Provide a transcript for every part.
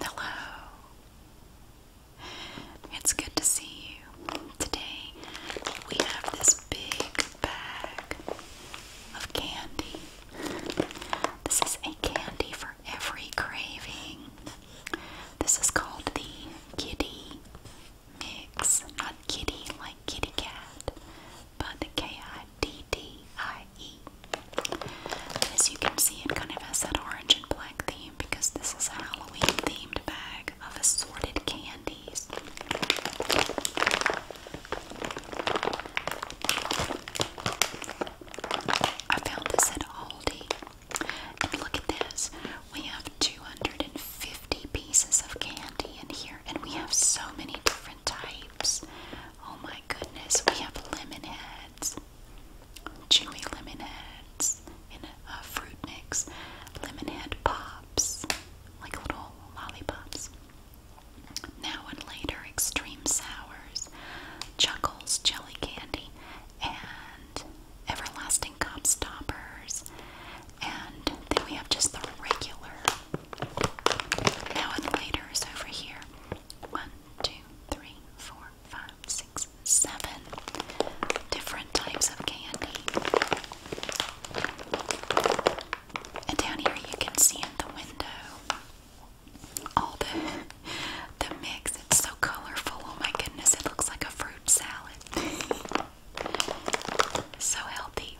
Hello. It's good to see you. Today we have this big bag of candy. This is a candy for every craving. This is called the kitty mix. Not kitty like kitty cat, Bud, K-I-D-D-I-E. As you can see, it kind of has that orange and black theme because this is a Halloween-themed bag of assorted candies. I found this at Aldi. And look at this. We have 250 pieces of candy in here, and we have so many different types. Oh my goodness, we have lemon heads, chewy lemon heads in a, fruit mix, lemon head pops, like little lollipops. Now and later, extreme sours, chuckles, jelly candy, and everlasting cop stoppers. And then we have just the regular now and later over here. One, two, three, four, five, six, seven different types of candy. And down here you can see in the window all the the mix. It's so colorful. Oh my goodness, it looks like a fruit salad. so healthy.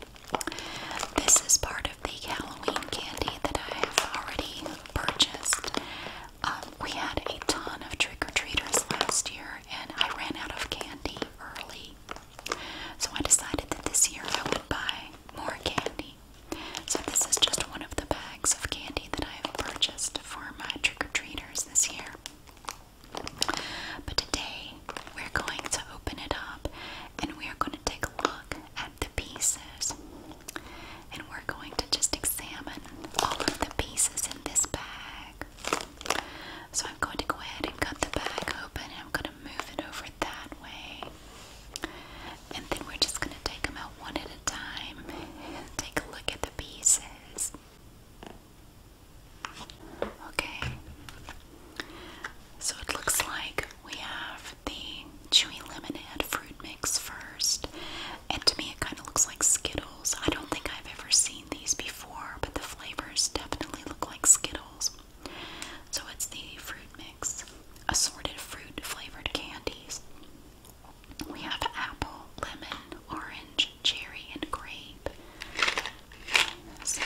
This is part of the Halloween candy that I have already purchased. Um, we had a ton of trick or treaters last year, and I ran out of candy early. So I decided that this year I would buy more candy. So this is just one of the bags of candy that I have purchased for my trick or treaters this year. But today we're going to open it up and we are going to take a look at the pieces. And we're going to just examine all of the pieces in this bag. So I'm going to go ahead and cut the bag open and I'm going to move it over that way. And then we're just going to take them out one at a time and take a look at the pieces. Okay, so it looks like we have the chewy lemonade fruit mix first. And to me, it kind of looks like Skittles. I don't think I've ever seen these before, but the flavors definitely look like Skittles. So it's the fruit mix, assorted fruit flavored candies. We have apple, lemon, orange, cherry, and grape. So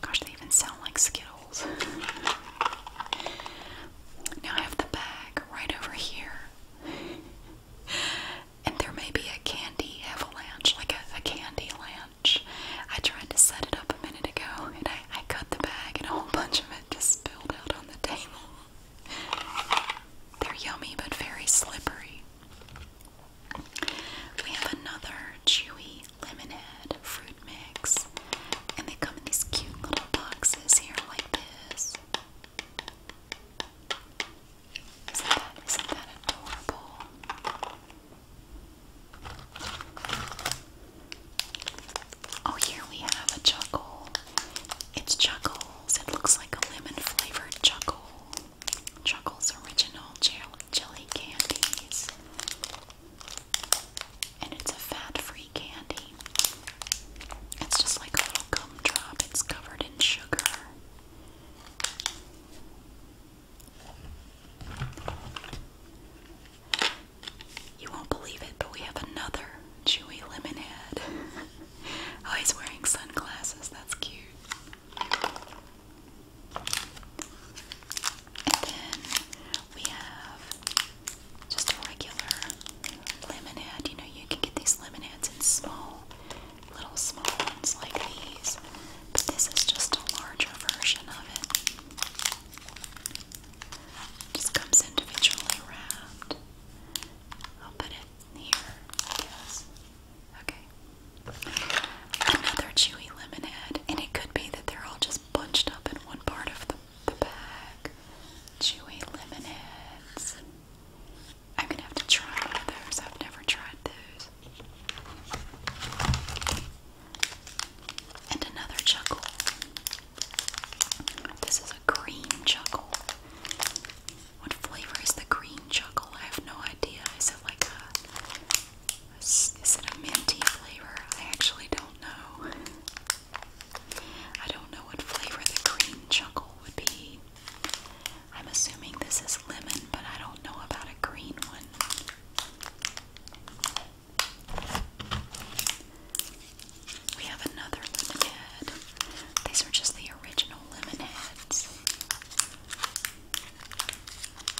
Gosh, they even sound like Skittles. Now I have the bag right over here. And there may be a candy avalanche, like a, candy lanch. I tried to set it up a minute ago and I, I cut the bag and a whole bunch of it just spilled out on the table. They're yummy but very slippery. We have another chewy lemonade, fruit mix, and they come in these cute little boxes here like this. Isn't that, isn't that adorable? Oh, here we have a chuckle. It's Chuckles. It looks like a lemon flavored chuckle. Chuckles original jelly candies. And it's a fat-free candy. It's just like a little gumdrop. It's covered in sugar. You won't believe it, but we have another chewy lemon oh, he's wearing sunglasses. That's cute. And then we have just a regular lemonade. You know, you can get these lemonades in small, little small ones like these, but this is just a larger version of it. Just comes individually wrapped. I'll put it here, Okay. Another chewy lemonade, and it could be that they're all just bunched up in one part of the, bag. Chewy lemonades. I'm gonna have to try one of those. I've never tried those. And another chuckle. This is a green chuckle. What flavor is the green chuckle? I have no idea. Is it like a is it a minty flavor? I actually don't know. I don't know what flavor the green chuckle would be. I'm assuming this is lemon, but I don't know about a green one. We have another lemon head. These are just the original lemon heads.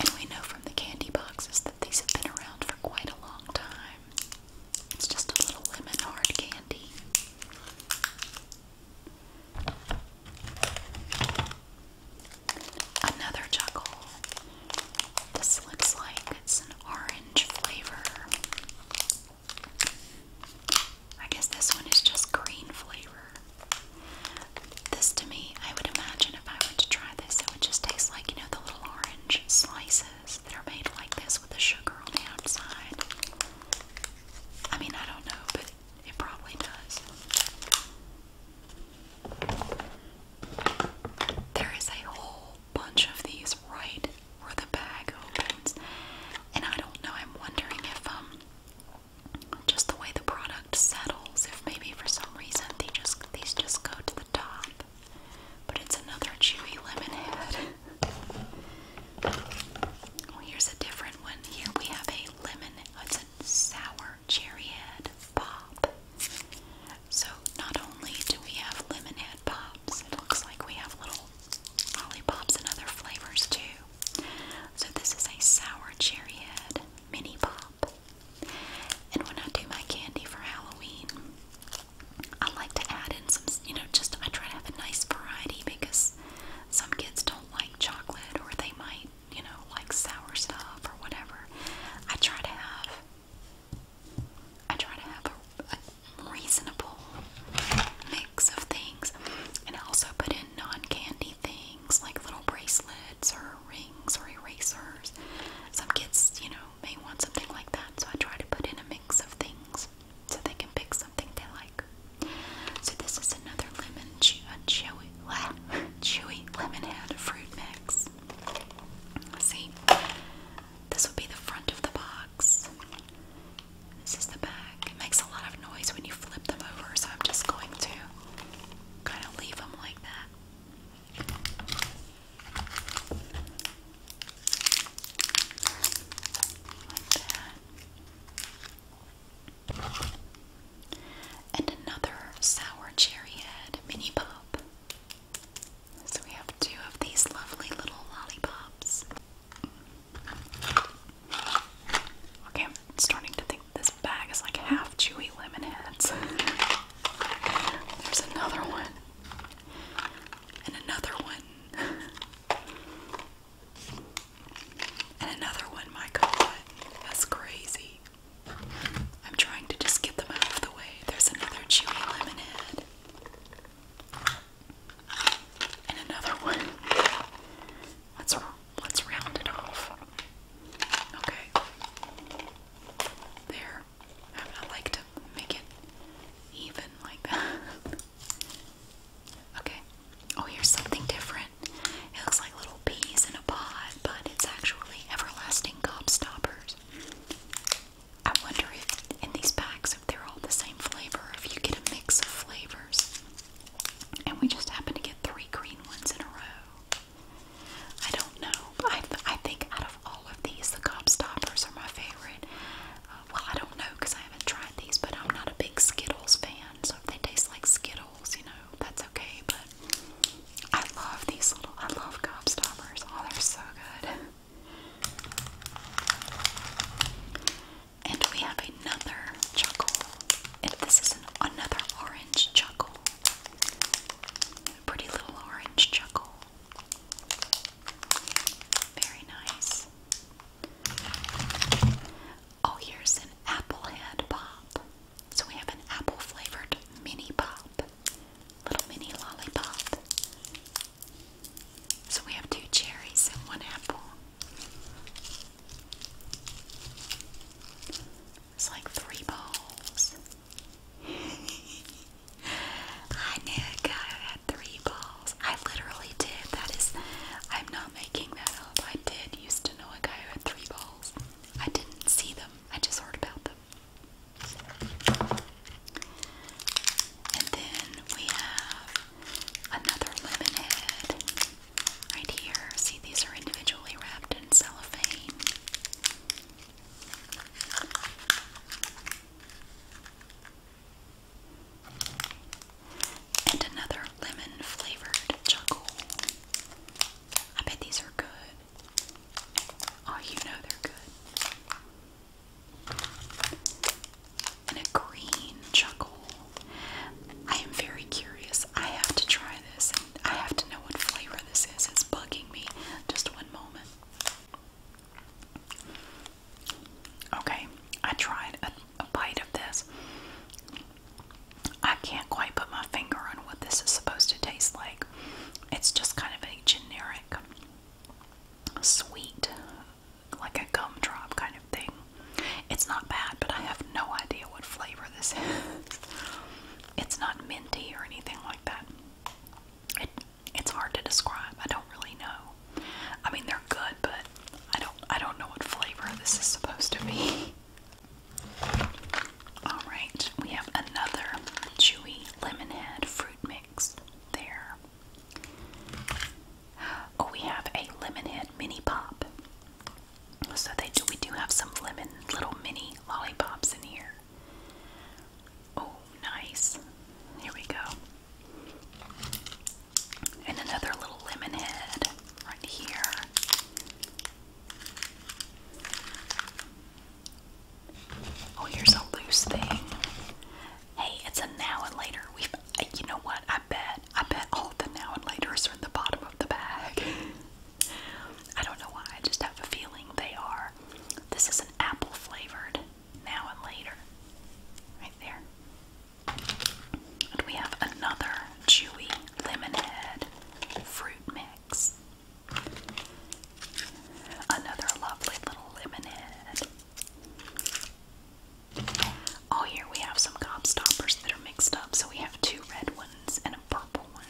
And we know from the candy boxes that these have been around for quite a long time. It's just a little lemon hard candy. Another chuckle. This looks like it's an orange flavor. I guess this one is just green flavor. This to me, I would imagine if I were to try this, it would just taste like, you know, the little orange slices that are made like this with the sugar on the outside. I mean, I don't know, but it probably does. There is a whole bunch of these right where the bag opens, and I don't know. I'm wondering if um, just the way the product settles, if maybe for some reason they just these just go to the top. But it's another chewy lemon head. well, here's a different one. Here we have a lemon, it's a sour cherry pop. So not only do we have lemon pops, it looks like we have little lollipops and other flavors too. So this is a sour cherry mini pop. And when I do my candy for Halloween, I like to add in some, you know, just I try to have a nice variety because some kids don't like chocolate or they might, you know, like sour stuff or whatever. I try to have I try to have a, reasonable mix of things. And also put in non-candy things like little bracelets or rings or erasers. Some kids, you know, may want something like that, so I try to put in a mix of things so they can pick something they like. So this is another lemon chewy chewy lemonhead fruit mix. See, this would be the front of the box. This is the back. It makes a lot of noise when you flip them over, so I'm just going to kind of leave them like that. And another sour cherry mini pop. So we have two of these lovely little lollipops. Okay, I'm starting to think this bag is like half chewy lemon heads. There's another one and another one. and another one, my god. That's crazy. I'm trying to just get them out of the way. There's another chewy lemonade. And another one. Let's let's round it off. Okay. There. I like to make it even like that. okay. Oh, here's something different. It looks like little peas in a pod, but it's actually everlasting gobstoppers. I wonder if in these packs, if they're all the same flavor, if you get a mix of flavors. And we just happen to get three green ones in a row. I don't know. I, I think out of all of these, the Gobstoppers are my favorite. Uh, well, I don't know because I haven't tried these, but I'm not a big Skittles fan. So if they taste like Skittles, you know, that's okay. But I love these little, I love Gobstoppers. Oh, they're so good. And we have another chuckle. And this is another orange chuckle. A pretty little orange chuckle. Very nice. Oh, here's an apple pop. So we have an apple flavored mini pop. Little mini lollipop. So we have two cherries and one apple. It's like three balls. I knew God had three balls. I literally did. That is, I'm not making that up. I did used to know a guy who had three balls. I didn't see them. I just heard about them. And then we have another lemon head right here. See, these are individually wrapped in cellophane. And another lemon flavored chuckle. I bet these are good. Oh, you know they're good. And a green chuckle. I am very curious. I have to try this and I have to know what flavor this is. It's bugging me. Just one moment. Okay, I tried a, bite of this. I can't quite put my finger on what this is supposed to taste like. It's just kind of a generic sweet, like a gumdrop kind of thing. It's not bad, but I have no idea what flavor this is. It's not minty or anything like that it's hard to describe. I don't really know. I mean, they're good, but I don't I don't know what flavor this is supposed to be. All right, we have another chewy lemon fruit mix there. Oh, we have a lemon head mini pop. So they do we do have some lemon little mini lollipops in here. Oh, nice. Here we go. And another little lemon right here. Oh, here's a loose thing. Hey, it's a now and later. We've, uh, you know what? I bet, I bet all the now and laters are in the bottom of the bag. I don't know why. I just have a feeling they are. This is an apple flavored now and later. Right there. And we have another chewy lemonade fruit mix. Another lovely little lemonade. Oh, here we have some gobstoppers that are mixed up. So we have two red ones and a purple one.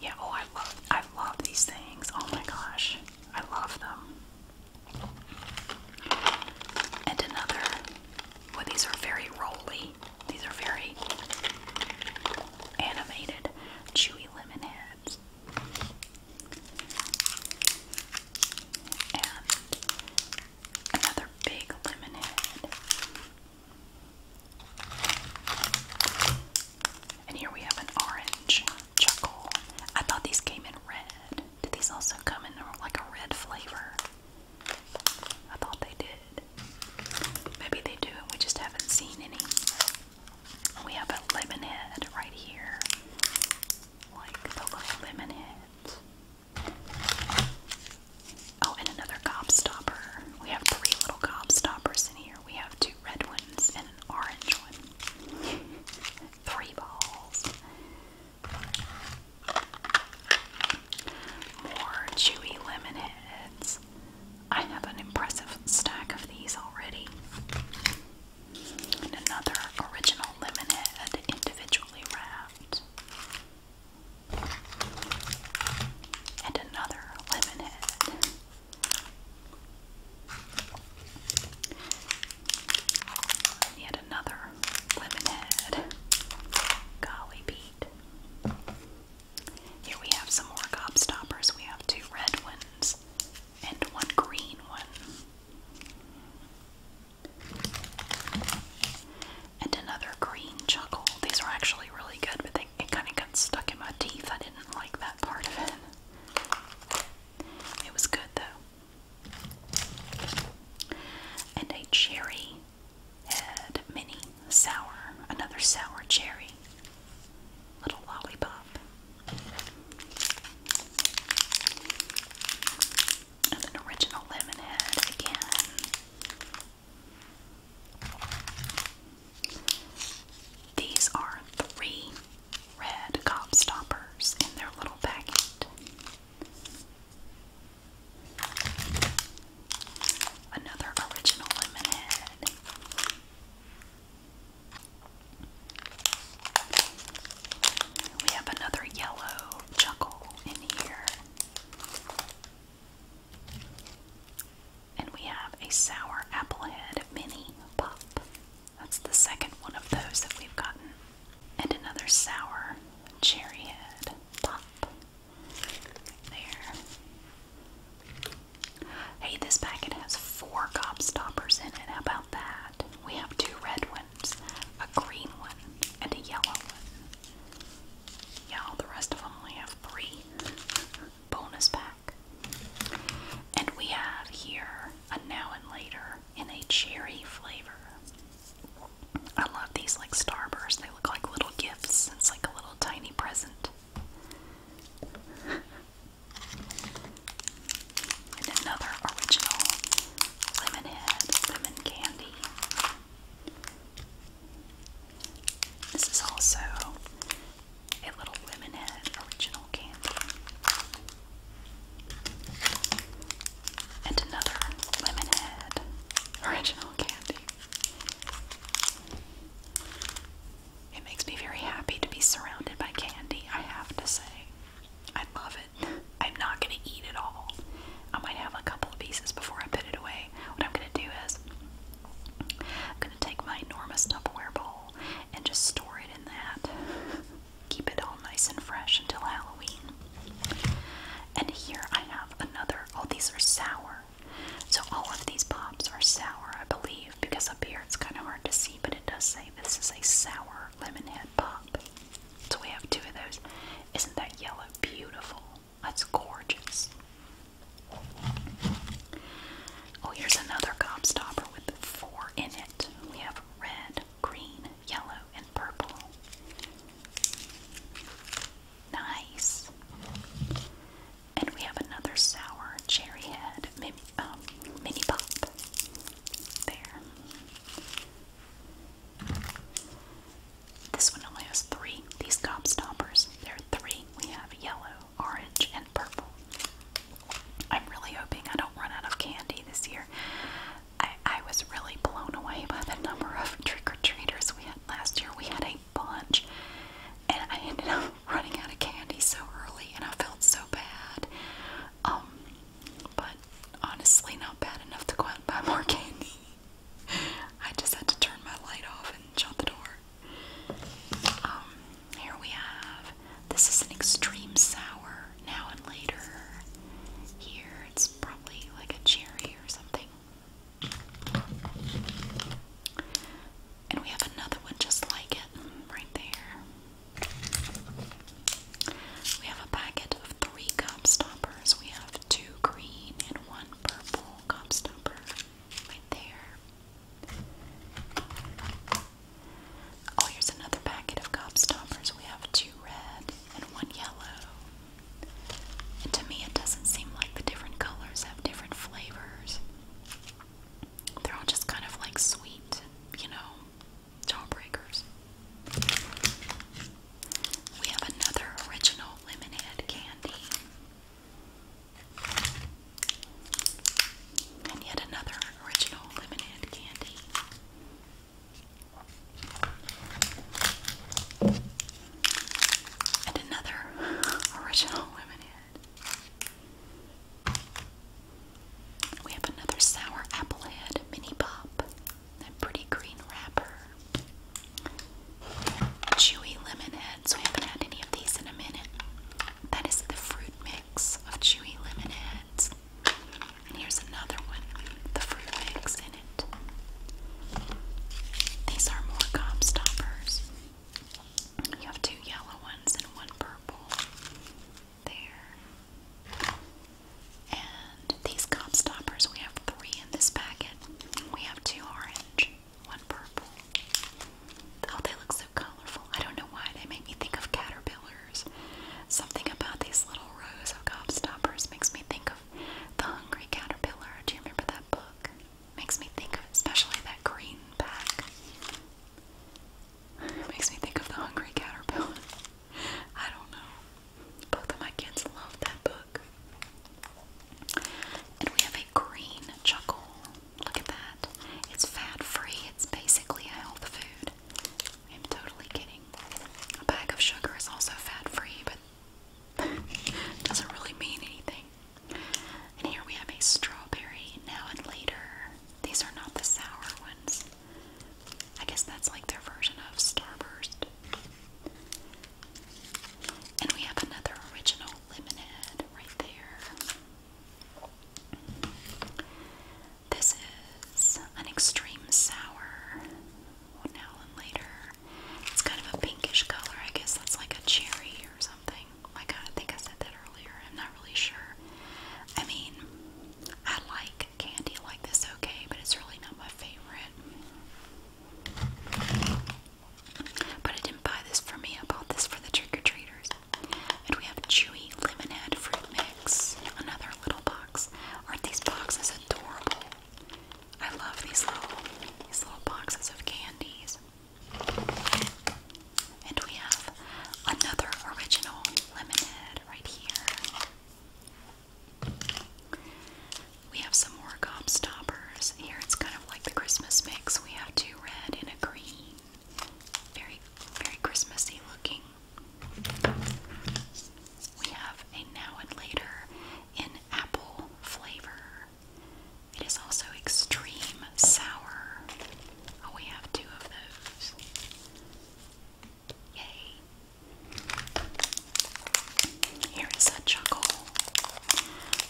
Yeah, oh I love I love these things. Oh my gosh. I love them. And another well these are very rolly. These are very animated chewy lemon heads. And another big lemon head. And here we have an orange chuckle. I thought these came in red. Did these also come in like a red flavor? I thought they did. Maybe they do, and we just haven't seen any. We have a lemon head right here. Like the little lemon Oh, and another gobstopper. We have three little Stoppers in here. We have two red ones and an orange one. Three balls. More chewy lemon heads. I have an impressive stack of these already. And another original lemon head individually wrapped. And another lemon head. Yet another lemonhead. Golly Pete. Here we have some more gobstoppers. We have two red ones and one green one. And another green chuckle. These are actually really good, but it kind of got stuck in my teeth. I didn't like that part of it. It was good though. And a cherry head mini sour, another sour cherry. Little lollipop. And an original lemon head again. These are three red cop stoppers in their little packet. Another original lemonhead. We have another yellow chuckle in here. And we have a sour applehead mini pop. That's the second one of those that we've gotten. And another sour cherry head pop. There. Hey, this packet has four gobstoppers in it. How about that? We have two red ones, a green one, and a yellow one. Yeah, all the rest of them only have three. Bonus pack. And we have here a now and later in a cherry flavor. I love these like Starburst. They look like little gifts. It's like a little tiny present. and another original Lemonhead lemon candy. This is also a little Lemonhead original candy, and another Lemonhead original candy. It makes me very happy to be surrounded by candy, I have to say. I love it. I'm not going to eat it all. I might have a couple of pieces before I put it away. What I'm going to do is, I'm going to take my enormous Tupperware bowl and just store it in that. Keep it all nice and fresh until Halloween. And here I have another. Oh, these are sour. So all of these pops are sour, I believe, because up here it's kind of hard to see, but it does say this is a sour lemon head pop. So we have two of those. Isn't that yellow beautiful? That's gorgeous. Oh, here's another gobstopper with four in it. We have red, green, yellow, and purple. Nice. And we have another sour cherry head mini, um, mini pop. There. This one only has three. These gobstoppers, they are three. We have yellow, orange, and purple. I'm really hoping I don't run out of candy this year. I, I was really blown away by the number of trick or treaters we had last year. We had a bunch, and I ended up running out of candy so early, and I felt so bad. Um, but honestly, not bad enough to go out and buy more candy. I just had to turn my light off and shut the door. Um, here we have this is an extreme sour now and later. Here it's probably like a cherry or something. And we have another one just like it right there. We have a packet of three cup stoppers. We have two green and one purple cup stopper right there. Oh, here's another packet of gobstoppers. We have two red and one yellow. to me, it doesn't seem like the different colors have different flavors. They're all just kind of like sweet, you know, jawbreakers. We have another original lemonhead candy. And yet another original lemonade candy. And another original lemonade. We have another sour apple head mini pop. That pretty green wrapper. Chewy lemon So We haven't had any of these in a minute. That is the fruit mix of chewy lemonades. And here's another one the fruit mix in it. These are more Gobstoppers. You have two yellow ones and one purple. There. And these Gobstoppers, we have three in this packet. We have two orange, one purple. Oh, they look so colorful. I don't know why. They make me think of caterpillars. Something about these little rows of gobstoppers makes me think of The Hungry Caterpillar. Do you remember that book? Makes me think of especially that green pack. makes me think of The Hungry Caterpillar. I don't know. Both of my kids love that book. And we have a green chuckle. Look at that. It's fat free. It's basically a health food. I'm totally kidding. A bag of sugar is also fat free, but doesn't really mean anything. And here we have a strawberry now and later. These are not the sour ones. I guess that's like their version of Starburst. And we have another original lemonade right there. This is an extreme sour. now and later. It's kind of a pinkish color. I guess that's like a cherry or something. Like I think I said that earlier. I'm not really sure. I mean, I like candy like this okay, but it's really not my favorite. But I didn't buy this for me. I bought this for the trick or treaters. And we have chewy lemonade fruit mix. Another little box. Aren't these boxes adorable? I love these little boxes of candies. And we have another original lemonade right here. We have some more gobstoppers. Here it's kind of like the Christmas mix. We have two red and a green. Very, very Christmassy looking. We have a now and later in apple flavor. It is also extreme sour. Oh, we have two of those. Yay. Here is a chuckle.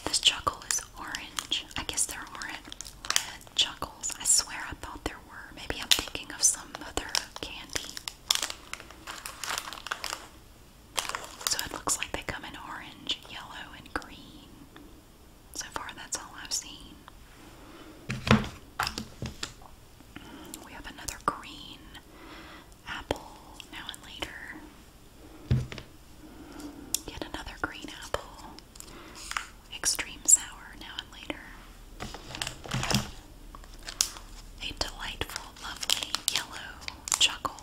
This chuckle is orange. I guess they're orange red chuckles. I swear I thought they Maybe I'm thinking of some other candy. So it looks like they come in orange, yellow, and green. So far, that's all I've seen. We have another green apple now and later. Yet another green apple extreme sour now and later. A delightful, lovely yellow chuckle.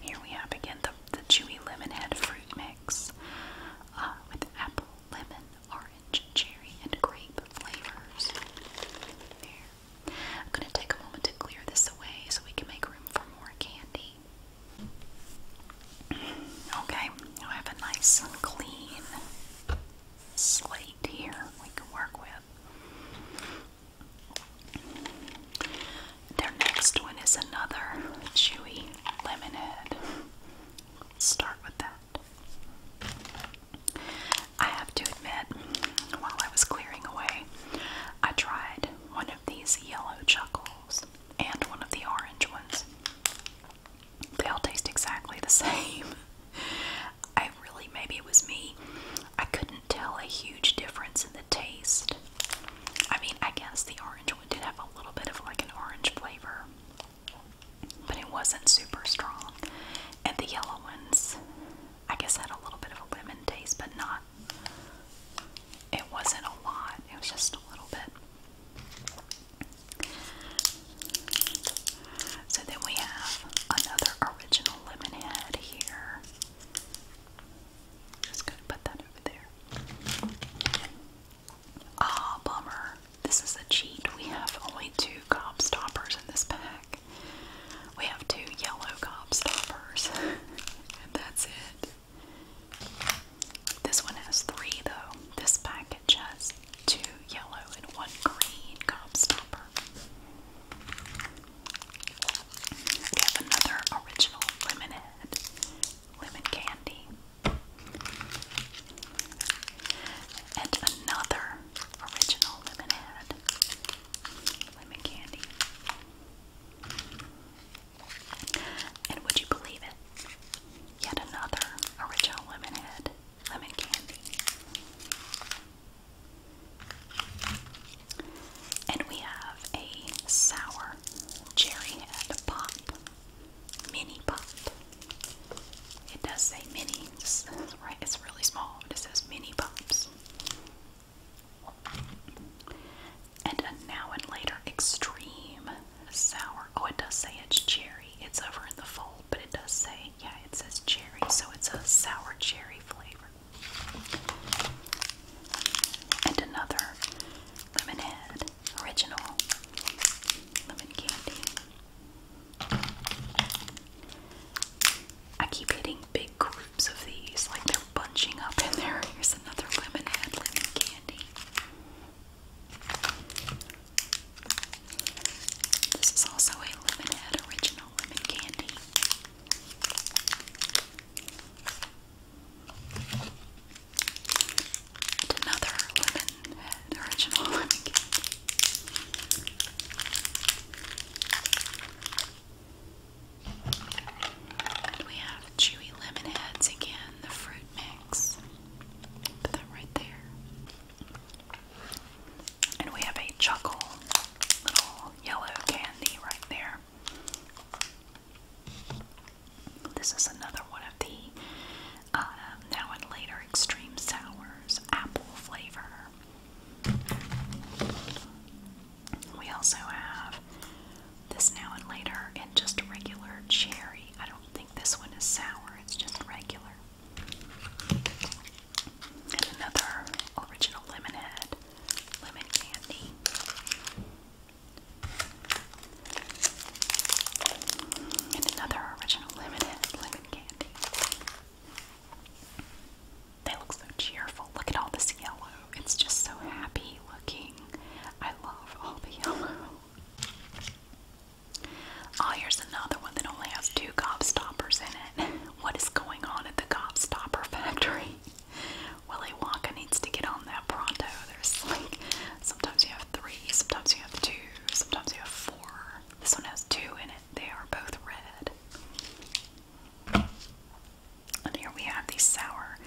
Here we have again the, the chewy lemonhead fruit mix uh, with apple, lemon, orange, cherry, and grape flavors. I'm going to take a moment to clear this away so we can make room for more candy. Okay, I have a nice clean slate here we can work with. Their next one is another chewy lemonade. Start with that. I have to admit, while I was clearing away, I tried one of these yellow chuckles and one of the orange ones. They all taste exactly the same. I really, maybe it was me. I couldn't tell a huge difference in the taste. I mean, I guess the orange one did have a little bit of like an orange flavor, but it wasn't super strong. And the yellow ones, I guess, had a little bit of a lemon taste, but not it wasn't a lot, it was just a little bit. So then we have another original lemonhead here. Just gonna put that over there. Ah, bummer. This is a cheat. We have only two gobstoppers in this pack. We have two yellow Stoppers, and that's it. This one has three, though. This package has two yellow and one green gobstopper. We have another original lemonhead, lemon candy, and another original lemonhead, lemon candy. And would you believe it? Yet another original Lemonhead lemon candy. And we have a sour cherry pop, mini pop. It does say mini, right? It's really small, but it says mini pops. And a now and later extreme sour. Oh, it does say it's cherry. It's over in the fold, but it does say, yeah, it says cherry, so it's a sour cherry flavor. And another lemonade original lemon candy. I keep hitting big of these, like they're bunching up in there. Here's another lemon head lemon candy. This is also a lemon original lemon candy. another lemon head original lemon candy we have chewy lemon heads again, the fruit mix. Put that right there. And we have a chuckle little yellow candy right there. This is another one of the um, now and later extreme sours, apple flavor. We also have this now and later and just regular cherry. I don't think this one is sour, it's just regular. And another original lemonhead, lemon candy. And another original lemonhead, lemon candy. They look so cheerful. Look at all this yellow. It's just so happy looking. I love all the yellow. Oh, here's another one that only has two gobstoppers in it. What is going on at the gobstopper factory? Willy Wonka needs to get on that pronto. There's like, sometimes you have three, sometimes you have two, sometimes you have four. This one has two in it. They are both red. And here we have the sour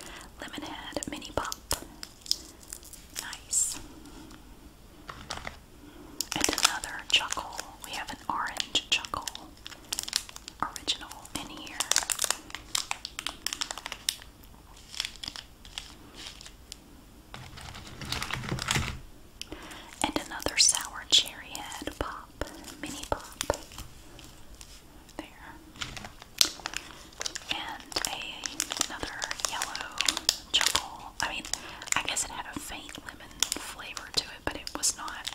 lemonhead mini pop. Nice. And another chuckle. We have an orange chuckle original in here. And another sour cherry pop, mini pop. There. And another yellow chuckle. I mean, I guess it had a faint lemon flavor to it, but it was not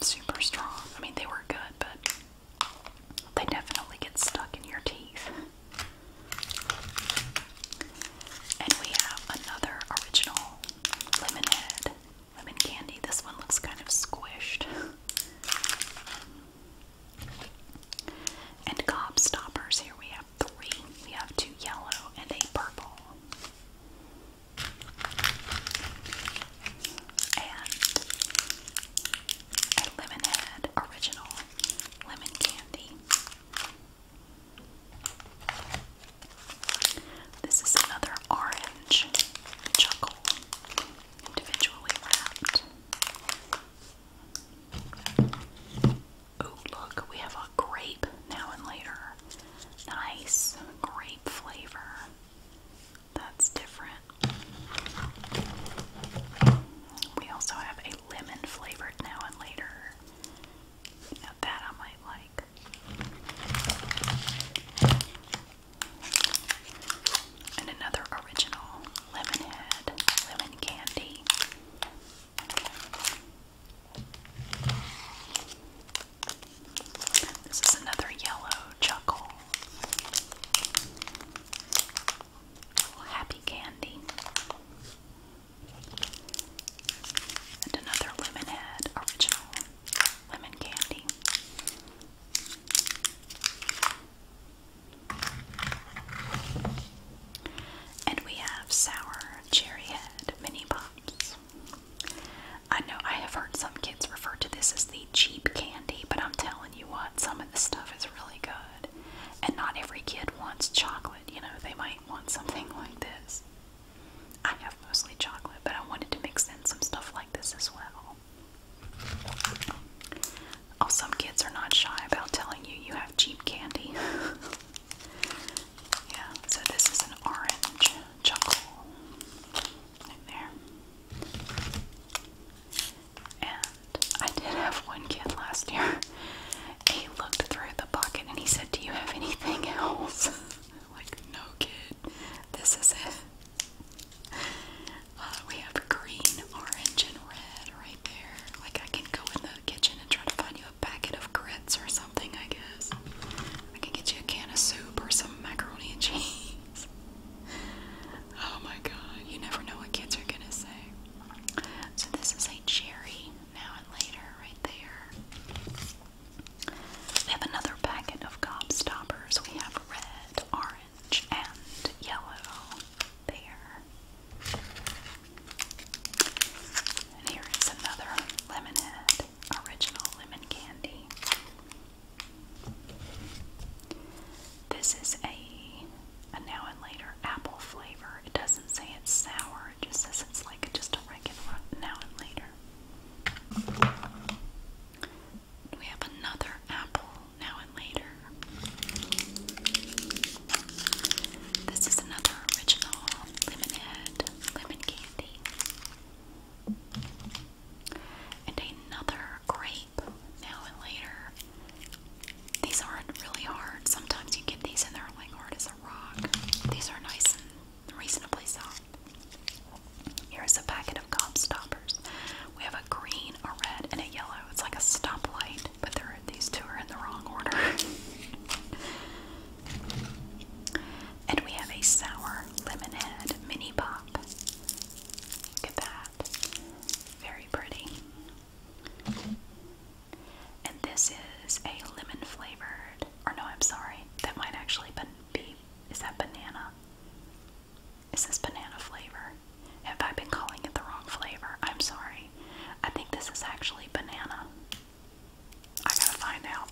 super strong. I mean, they were good, but they definitely get stuck in your teeth. And we have another original lemonade lemon candy. This one looks kind of squished. And gob stoppers. Here we have three. We have two yellow and a purple. And a Lemonhead original lemon candy. This is another orange chuckle individually wrapped. Oh, look, we have a grape now and later. Nice grape flavor. That's different. We also have a lemon flavored now and later. that I might like. And another original Lemonhead lemon candy. This is another yellow chuckle. happy candy. And another Lemonhead original lemon candy. And we have sour cherry mini pops. I know I have heard some kids refer to this as the cheap candy, but I'm telling you what, some of the stuff is really good. And not every kid wants chocolate, you know, they might want something like this. I have mostly chocolate, but I wanted to mix in some stuff like this as well. Oh, some kids are not shy about telling you you have cheap candy. yeah, so this is an orange chuckle in there. And I did have one kid last year. He looked through the bucket and he said, Do you have anything else? like, no kid, this is it. Uh, we have green, orange, and red right there. Like I can go in the kitchen and try to find you a packet of grits or something, I guess. I can get you a can of soup or some macaroni and cheese. oh my god, you never know what kids are gonna say. So this is a cherry now and later right there. We have another packet of gobstoppers. We have red, orange and yellow there. And here is another lemonade, original lemon candy. This is a, a now and later apple flavor. It doesn't say it's sour, it just says it's like just a regular now and later we have another apple now and later. This is another original lemonhead lemon candy. And another grape now and later. These aren't really hard. Sometimes you get these and they're like hard as a rock. These are nice and reasonably soft. Here's a packet of cop stoppers. We have a green, a red, and a yellow. It's like a stoplight, but these two are in the wrong order. and we have a sour lemonade mini pop. Look at that. Very pretty. And this is a lemon flavored, or no, I'm sorry, that might actually be, is that banana? Is this banana flavor? Have I been calling it the wrong flavor? I'm sorry. I think this is actually banana. I gotta find out.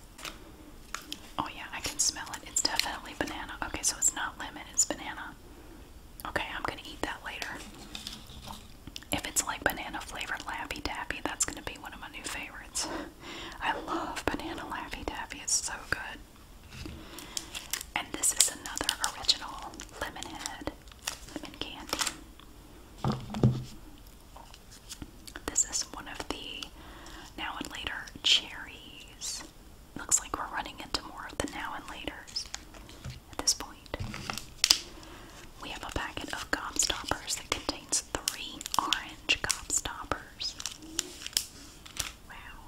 Oh, yeah, I can smell it. It's definitely banana. Okay, so it's not lemon, it's banana. Okay, I'm gonna eat that later. If it's like banana flavored lappy Taffy, that's gonna be one of my new favorites. I love banana lappy Taffy, it's so good. And this is another original Lemonhead lemon candy. This is one of the now and later cherries. Looks like we're running into more of the now and later at this point. We have a packet of gobstoppers that contains three orange gobstoppers. Wow.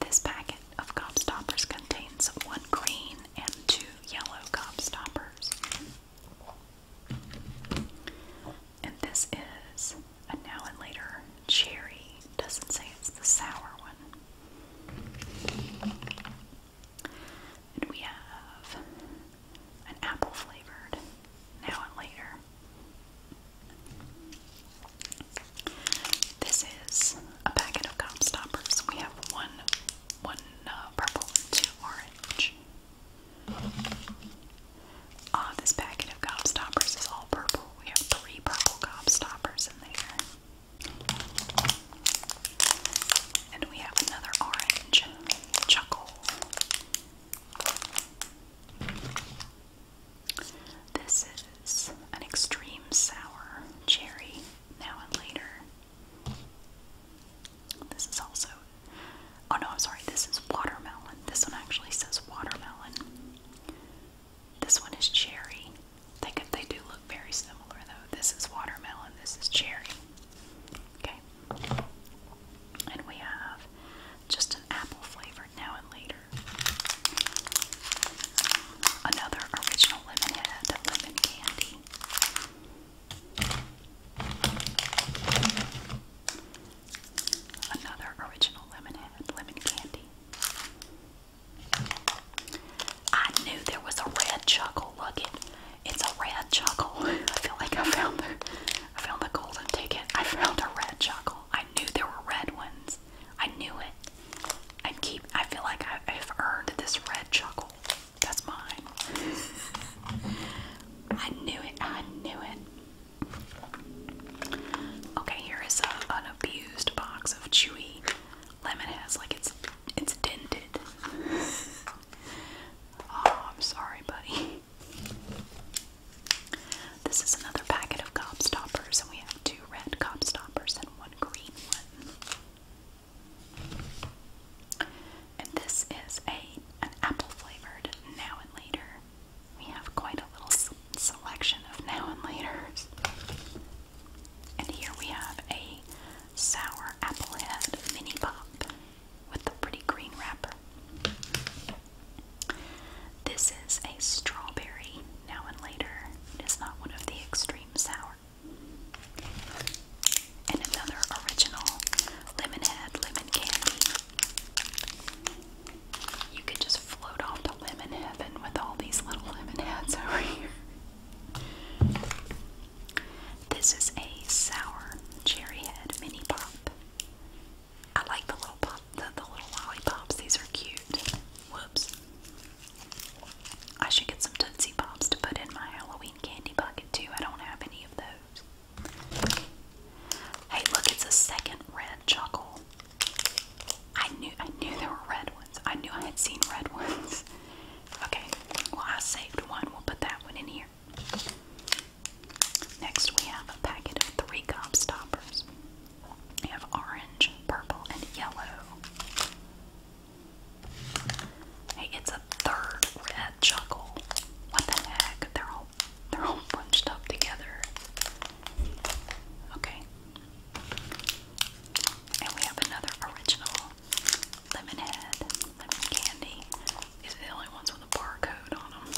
This packet of gobstoppers contains one green and two yellow gobstoppers. And this is a now and later cherry. Doesn't say it's the sour one. And we have an apple flavored now and later. This is a packet of gum stoppers. We have one, one uh, purple and two orange. Uh, this packet of gum stoppers is all purple. We have three purple gum stoppers in there. And we have another orange chuckle. This is an extreme sour cherry now and later. This is also. Oh no, I'm sorry, this is watermelon. This one actually says watermelon. This one is cherry. They, could, they do look very similar though. This is watermelon, this is cherry. Okay. And we have just an apple flavor now and later. Another original Lemonhead lemon candy. Another original Lemonhead lemon candy. I knew there was a red chuckle. Look it. It's a red chuckle. I feel like I found I found the golden ticket. I found a red chuckle. I knew there were red ones. I knew it. I keep. I feel like I, have earned this red chuckle. That's mine. I knew it. I knew it. Okay, here is an abused box of chewy lemonade. It like it's it's dented. oh, I'm sorry, buddy. This is another packet of gobstoppers, and we have two red gobstoppers and one green one. And this is a an apple flavored now and later. We have quite a little selection of now and laters. And here we have a sour apple head mini pop with the pretty green wrapper. This is a strawberry now and later. It is not one of the extreme sour. And another original lemonhead lemon candy. You could just float off to lemon heaven with all these little lemon heads over here. This is a sour cherry head mini pop. I like the little pop the, little lollipops. These are cute. Whoops. I should get some Tootsie Pops to put in my Halloween candy bucket too. I don't have any of those. Hey, look, it's a second red chuckle. I knew I knew there were red ones. I knew I had seen red ones. Okay, well I saved one. We'll put that one in here. Next we have a packet of three Stoppers. You have orange, purple, and yellow. Hey, it's a third red chuckle. What the heck? They're all they're all bunched up together. Okay. And we have another original lemonhead, lemon candy. These are the only ones with a barcode on them.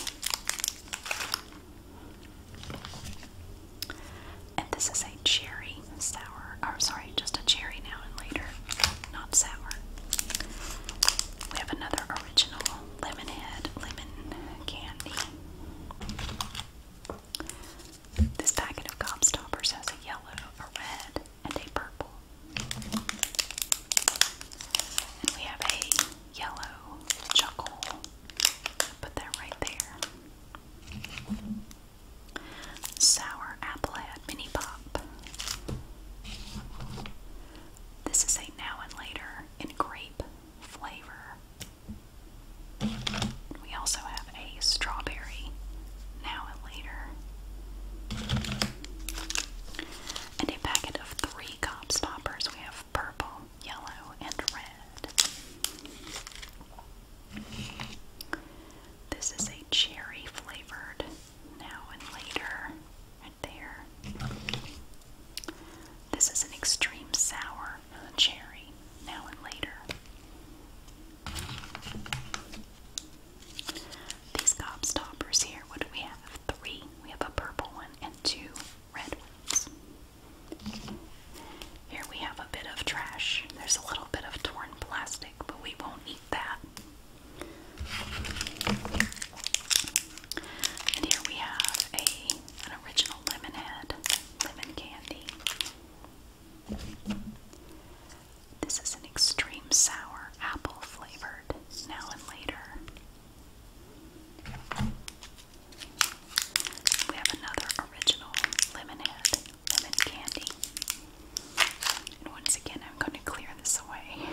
And this is a cherry sour, or sorry, just a cherry now and later, not sour. We have another original Lemonhead lemon candy. This packet of Gobstoppers has a yellow, a red, and a purple. And we have a yellow chuckle. Put that right there. Sour Apple Head Mini Pop. This is a now and later in grape flavor. We also have a strawberry now and later. And a packet of three Cops Poppers. We have purple, yellow, and red. This is a cherry flavored now and later, right there. This is an extreme sour cherry now and later. These gobstoppers here, what do we have? Three. We have a purple one and two red ones. Here we have a bit of trash. There's a little bit of torn plastic, but we won't eat that. And here we have a an original lemon lemon candy. This is an extreme sour apple flavored now and later. We have another original lemonade, lemon candy. And once again, I'm going to clear this away.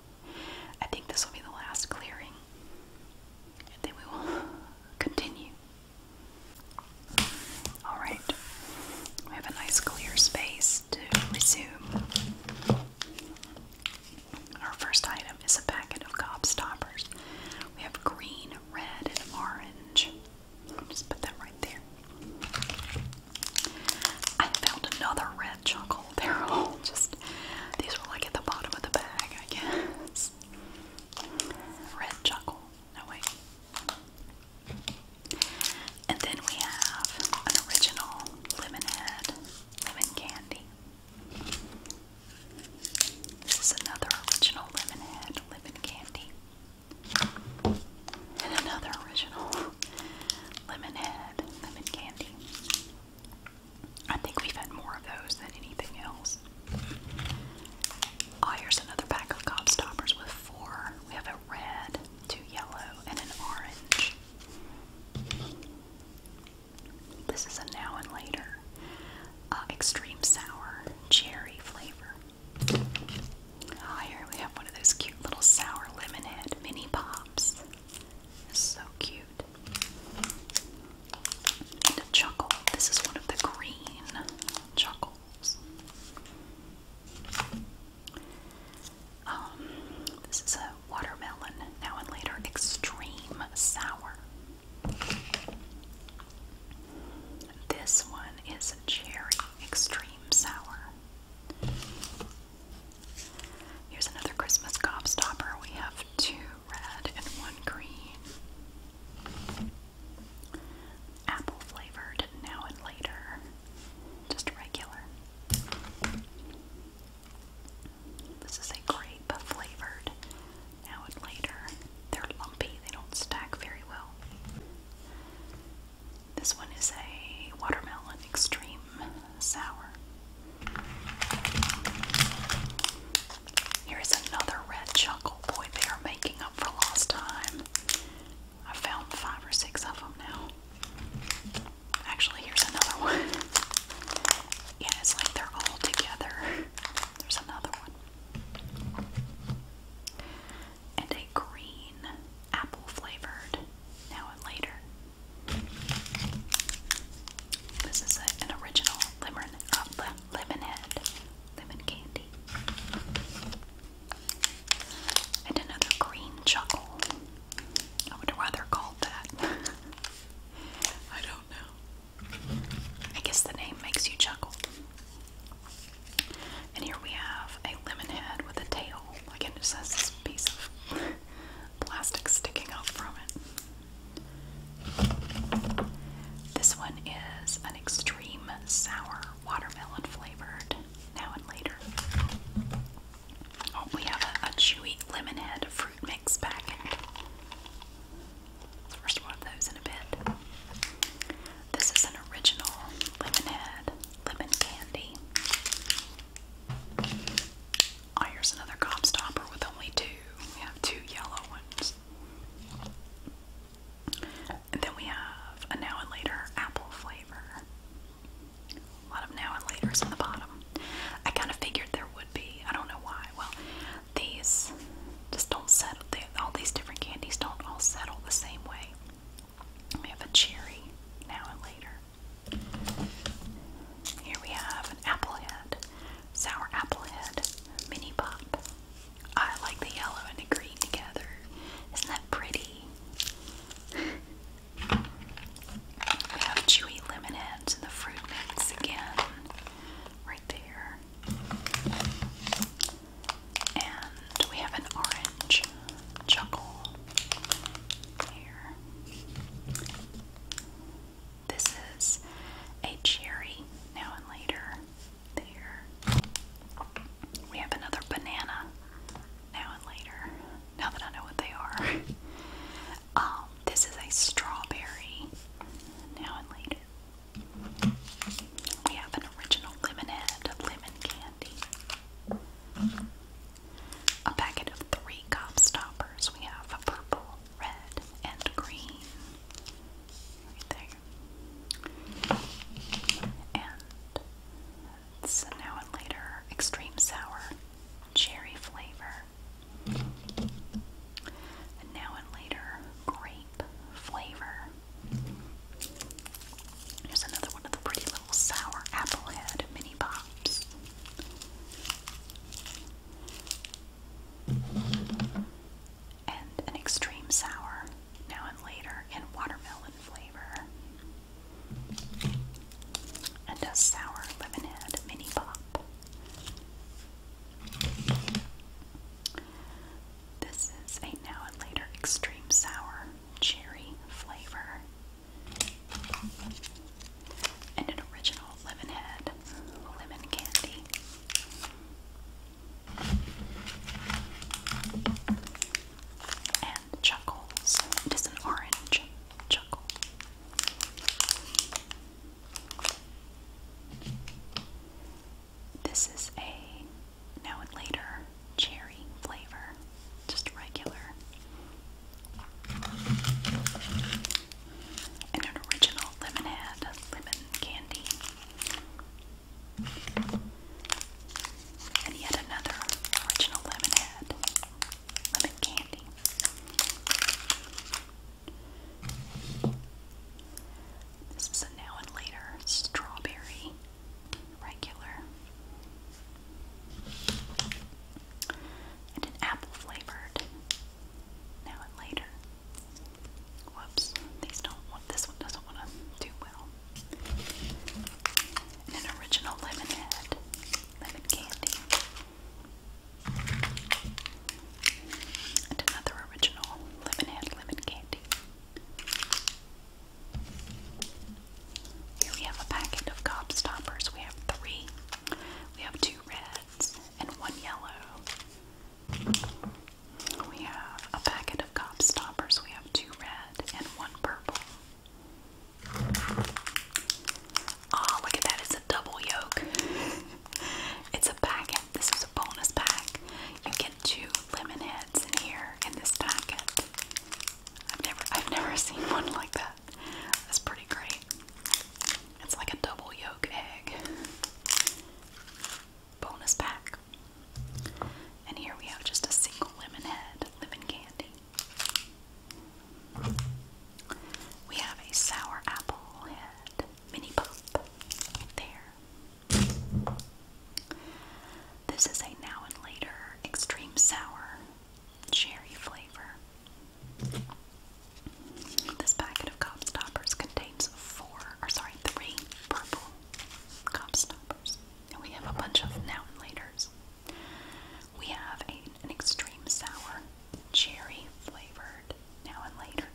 I think this will be the last clearing, and then we will continue. Alright, we have a nice clear space to resume. Our first item is a packet of gobstoppers. We have green red and orange. just put that right there. I found another red chuckle. they just, these were like at the bottom of the bag, I guess. Red chuckle. No, wait. And then we have an original lemonhead, lemon candy. This is another original Lemonhead Lemon Candy. And another original Lemonhead Lemon Candy. I think we've had more of those than anything else. Oh, here's another pack of cop stoppers with four. We have a red, two yellow, and an orange. This is a now and later. Uh, extreme sour cherry flavor. Oh, here we have one of those cute little sour lemonhead mini pops. So cute. And a chuckle. This is one of the green chuckles. Um, this is a watermelon now and later extreme sour. This one is Cherry Extreme Sour. Here's another Christmas stopper. We have two red and one green. Apple flavored now and later. Just regular. This is a grape flavored now and later. They're lumpy, they don't stack very well. This one is a watermelon extreme sour. Here is another red chuckle. Boy, they are making up for lost time. I found five or six of them now. Actually, here's another one. Yeah, it's like they're all together. There's another one and a green apple flavored now and later. This is an original lemon, uh, lemon candy. And another green chuckle. I wonder why they're called that. I don't know. I guess the name makes you chuckle. And here we have a lemon with a tail. Like it just has this piece of plastic sticking out from it. This one is an extreme sour watermelon flavored now and later. Oh, we have a, chewy lemon fruit mix packet. First one of those in a bit. This is an original Lemonhead lemon candy. Oh, here's another gobstopper with only two. We have two yellow ones. And then we have a now and later apple flavor. A lot of now and laters on the bottom. I kind of figured there would be. I don't know why. Well, these just don't settle. all these different candies don't all settle the same way. We have a cherry now and later. Here we have an apple head, sour apple head, mini pop. I like the yellow and the green together. Isn't that pretty? we have chewy lemon heads and the fruit mix again, right there. And we have an orange chuckle here. This is a cherry now and later. There. We have another banana now and later. Now that I know what they are. um, this is a strawberry now and later. We have an original lemonade, lemon candy. A packet of three cop stoppers. We have a purple, red, and green. Right there. And it's now and later extreme sour cherry flavor. And now and later grape flavor. Here's another one of the pretty little sour apple head mini pops. And an extreme sour, now and later, in watermelon flavor. And a sour lemonade mini pop. This is a now and later extreme sour cherry flavor. And an original lemon head lemon candy. And chuckles. It is an orange chuckle. This is a now and later cherry flavor, just regular. And an original lemonade, lemon candy. And yet another original lemonade, lemon candy. This is a now and later strawberry regular. And an apple flavored now and later. Whoops, this one doesn't want to do well. an original lemon lemon candy. And another original lemon lemon candy. Here we have a packet of cop stoppers. We have three. We have two reds and one yellow. We have a packet of cop stoppers. We have two red and one purple. Oh, look at that. It's a double yolk. it's a packet. This is bonus pack. You get two lemon heads in here in this packet. I've never I've never seen one like that. That's pretty great. It's like a double yolk egg. Bonus pack. And here we have just a single lemon head, lemon candy. We have a sour apple head mini pop right there. This is a now and later extreme sour sherry flavor. This packet of cop contains four, or sorry, three purple cop And we have a bunch of now and laters. We have an extreme sour cherry flavored now and later.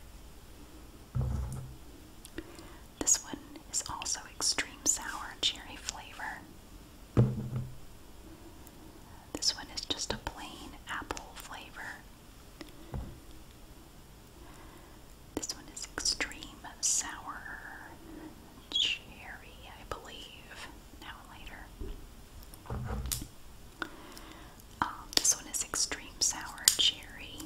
This one is also extreme sour cherry flavor. This one is just a plain apple flavor. This one is extreme sour cherry, I believe. Now and later. Um, this one is extreme sour cherry.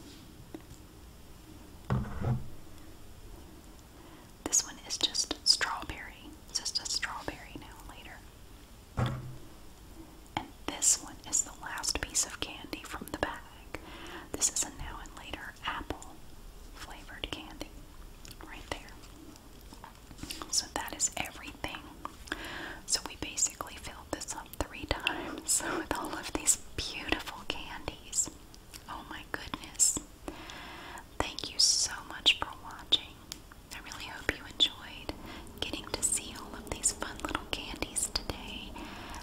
This one is just strawberry. It's just a strawberry now later. And this one is the last piece of candy from the bag. This is a now and later apple flavored candy right there. So that is everything. So we basically filled this up three times with all of these beautiful candies. Oh my goodness. Thank you so much for watching. I really hope you enjoyed getting to see all of these fun little candies today.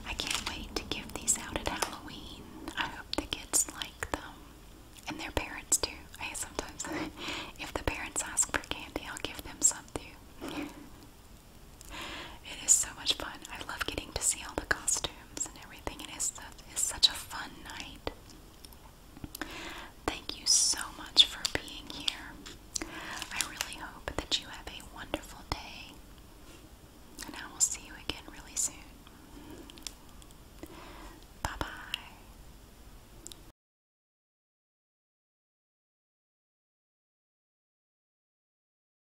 I can't wait to give these out at Halloween. I hope the kids like them. And their parents too. I sometimes if the parents ask for candy, I'll give them some too. It is so much fun. I love getting to see all the costumes and everything. It is, such a fun night. Thank you so much for being here. I really hope that you have a wonderful day. And I will see you again really soon. Bye bye.